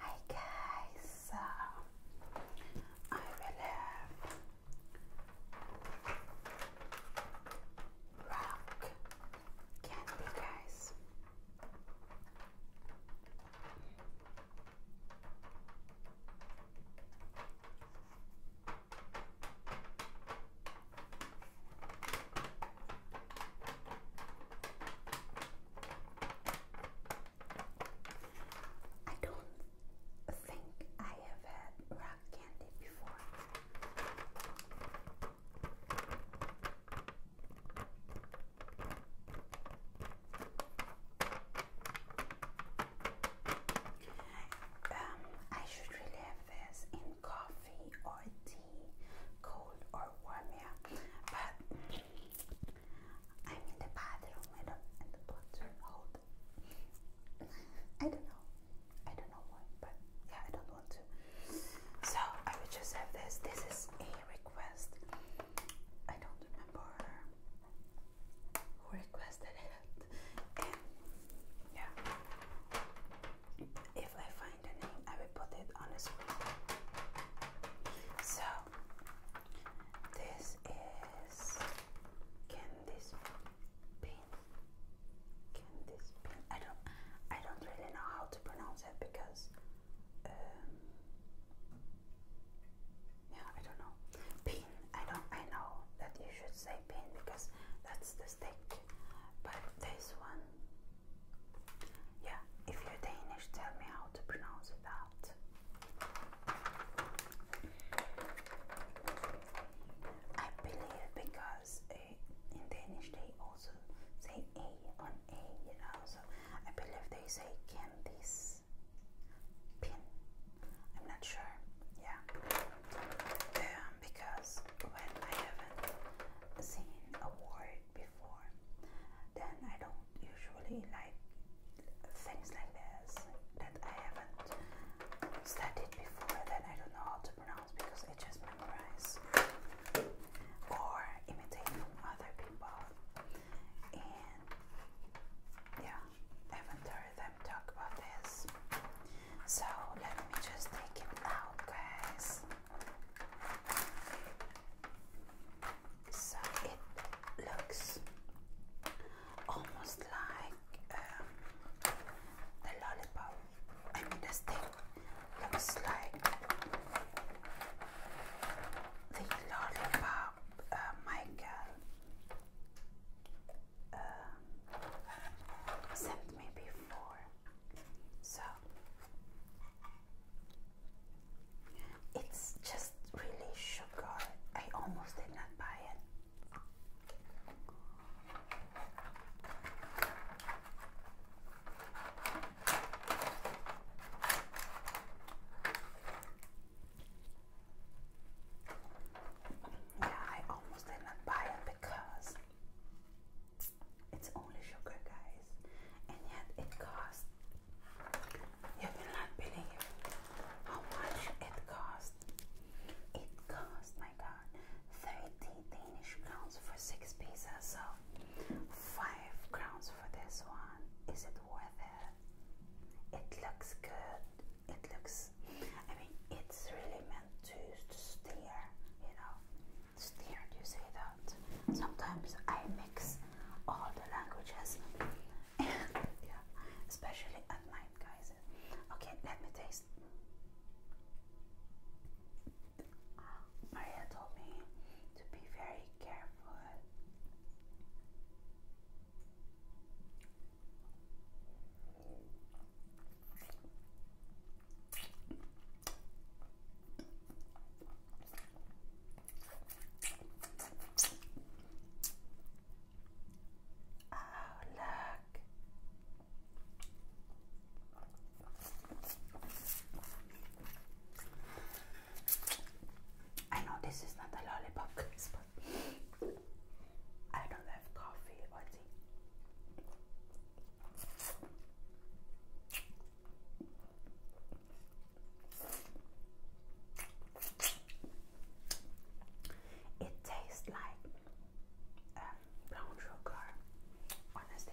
Hi guys, so I will have rock candy guys. I don't think I have had rock candy before. Um, I should really have this in coffee or tea, cold or warm, But I'm in the bathroom, I don't, and the hold. I don't know, I don't know why, but yeah, I don't want to. So I will just have this. This is a request. I don't remember who requested it. yeah, if I find the name, I will put it on the screen. So, this is can this pin? Can this pin? I don't, I don't really know how to pronounce it because, um, yeah, I don't know. Pin. I don't. I know that you should say pin because that's the steak. But this one, yeah, if you're Danish, tell me how to pronounce it I believe because uh, in Danish they also say A on A, you know, so I believe they say candies, pin. I'm not sure, yeah because when I haven't seen a word before, then I don't usually like things like this that I haven't studied before that I don't know how to pronounce because I just memorize or imitate from other people. And yeah, I haven't heard them talk about this. So let me just take it out, guys. So it looks almost like um, the lollipop. I mean, the stick looks like the lollipop, uh, Michael um, sent me before. So it's just really sugar. I almost did not buy it. Yeah, I almost did not buy it because it's only sugar, guys, and yet it costs. You will not believe how much it costs. It costs, my God, thirty Danish crowns for six pieces. So five crowns for this one. Is it worth it? It looks good it looks I mean it's really meant to, to steer you know steer do you say that sometimes I mix all the languages yeah especially at night guys okay let me taste Maria told me to be very careful Oh, look. I know this is not a lollipop I don't have coffee or It tastes like um, brown sugar, honestly.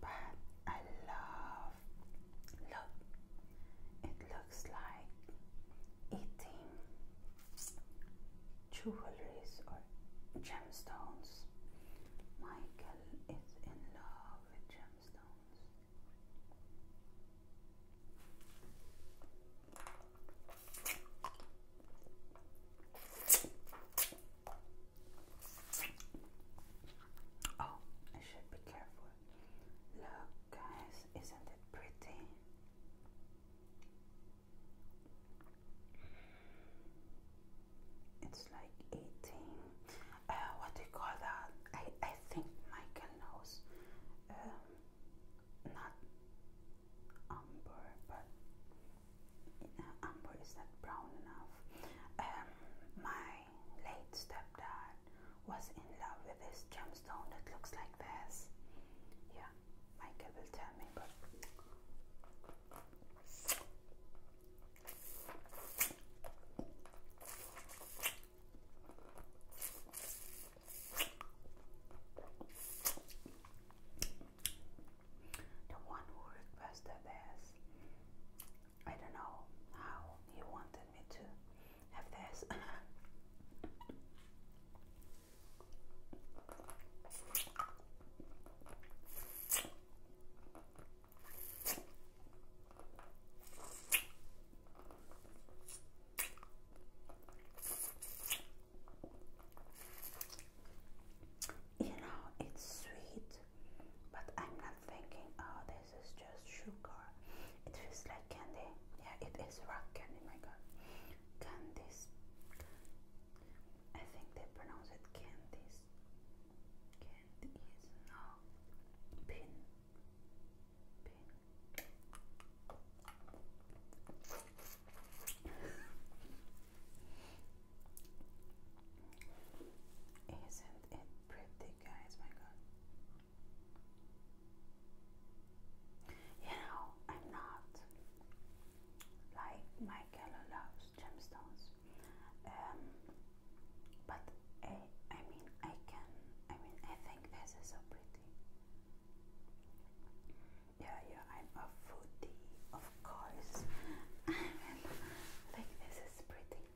but I love look it looks like eating jewelries or gemstones. Michael is in love with gemstones. Oh, I should be careful. Look, guys, isn't it pretty? It's like eating. Uh, what do you call that? I I think Michael knows. Um, not umber, but uh, is not brown enough. Um, my late stepdad was in love with this gemstone that looks like this. Yeah, Michael will tell me, but. The one who requested this, I don't know how he wanted me to have this. You know, it's sweet, but I'm not thinking, oh, this is just sugar. It feels like candy. Yeah, it is rock candy, my god. Candies. I think they pronounce it candies. Candies, no. Pin. Isn't it pretty, guys? My God. You know, I'm not like Michael loves gemstones, um, but I, I mean, I can, I mean, I think this is so pretty. Yeah, yeah, I'm a foodie, of course. I mean, like, this is pretty.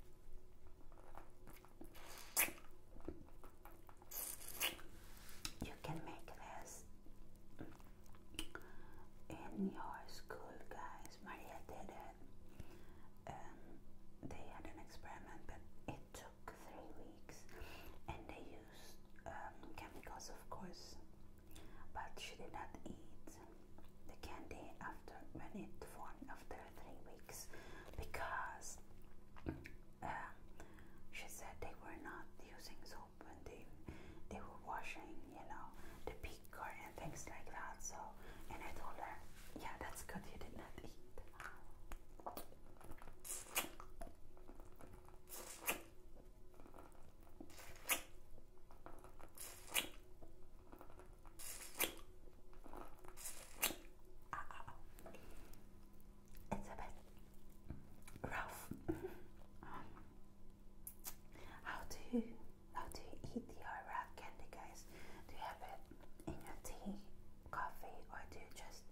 You can make this in your school, guys. Maria did it. Um, they had an experiment, but it took three weeks, and they used um, chemicals, of course. But she did not eat the candy after when it formed after three weeks because um, she said they were not using soap and they they were washing, you know, the beaker and things like that. So, and I told her, yeah, that's good. You did not eat. Uh, it's a bit rough. Um, how do you how do you eat the Iraq candy, guys? Do you have it in a tea, coffee, or do you just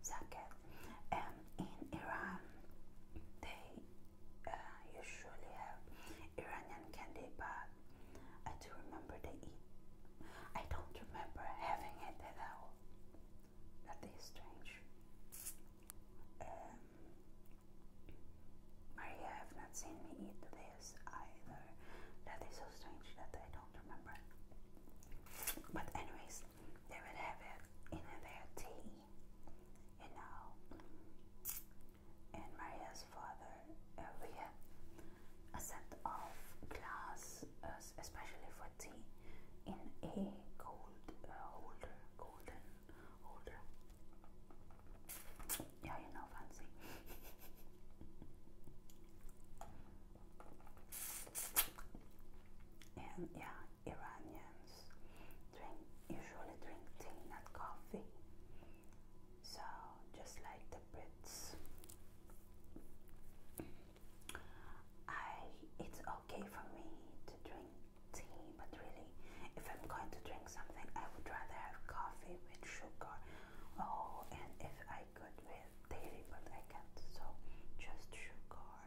suck it? And um, in Iran, they uh, usually have Iranian candy, but I do remember they eat. I don't remember having it at all. That is strange. Um, Maria have not seen me eat today either. That is so strange that I don't remember. But anyways, they would have it in their tea, you know. And Maria's father, uh, a set of glass, uh, especially for tea, in a gold uh, holder, golden holder. Yeah, you're fancy. and yeah, Iranians drink usually drink tea, not coffee. So just like the Brits. I it's okay for me to drink tea, but really if I'm going to drink something, I would rather have coffee with sugar oh, and if I could with dairy, but I can't, so just sugar.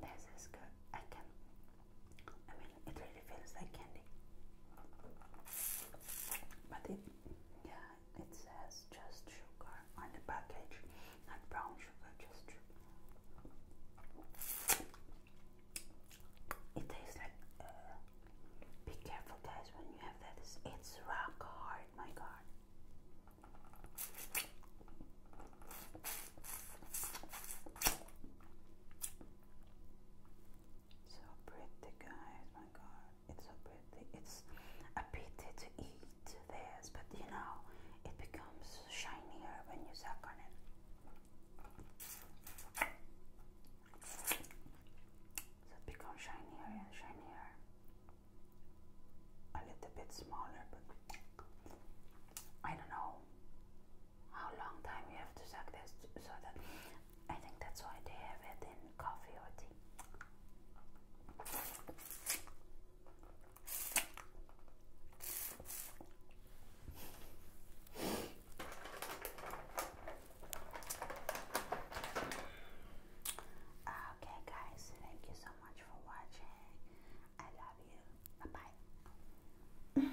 This is good. I can, I mean, it really feels like candy, but it, yeah, it says just sugar on the package, not brown sugar, just sugar. It tastes like. Uh, be careful, guys, when you have that. it's rock hard, my god. So pretty, guys. My God, it's so pretty. It's a pity to eat this, but you know, it becomes shinier when you suck on it. So it becomes shinier and shinier. A little bit smaller, but I don't know how long time you have to suck this so that I think that's why they have it in coffee or tea. Okay, guys, thank you so much for watching. I love you. Bye bye.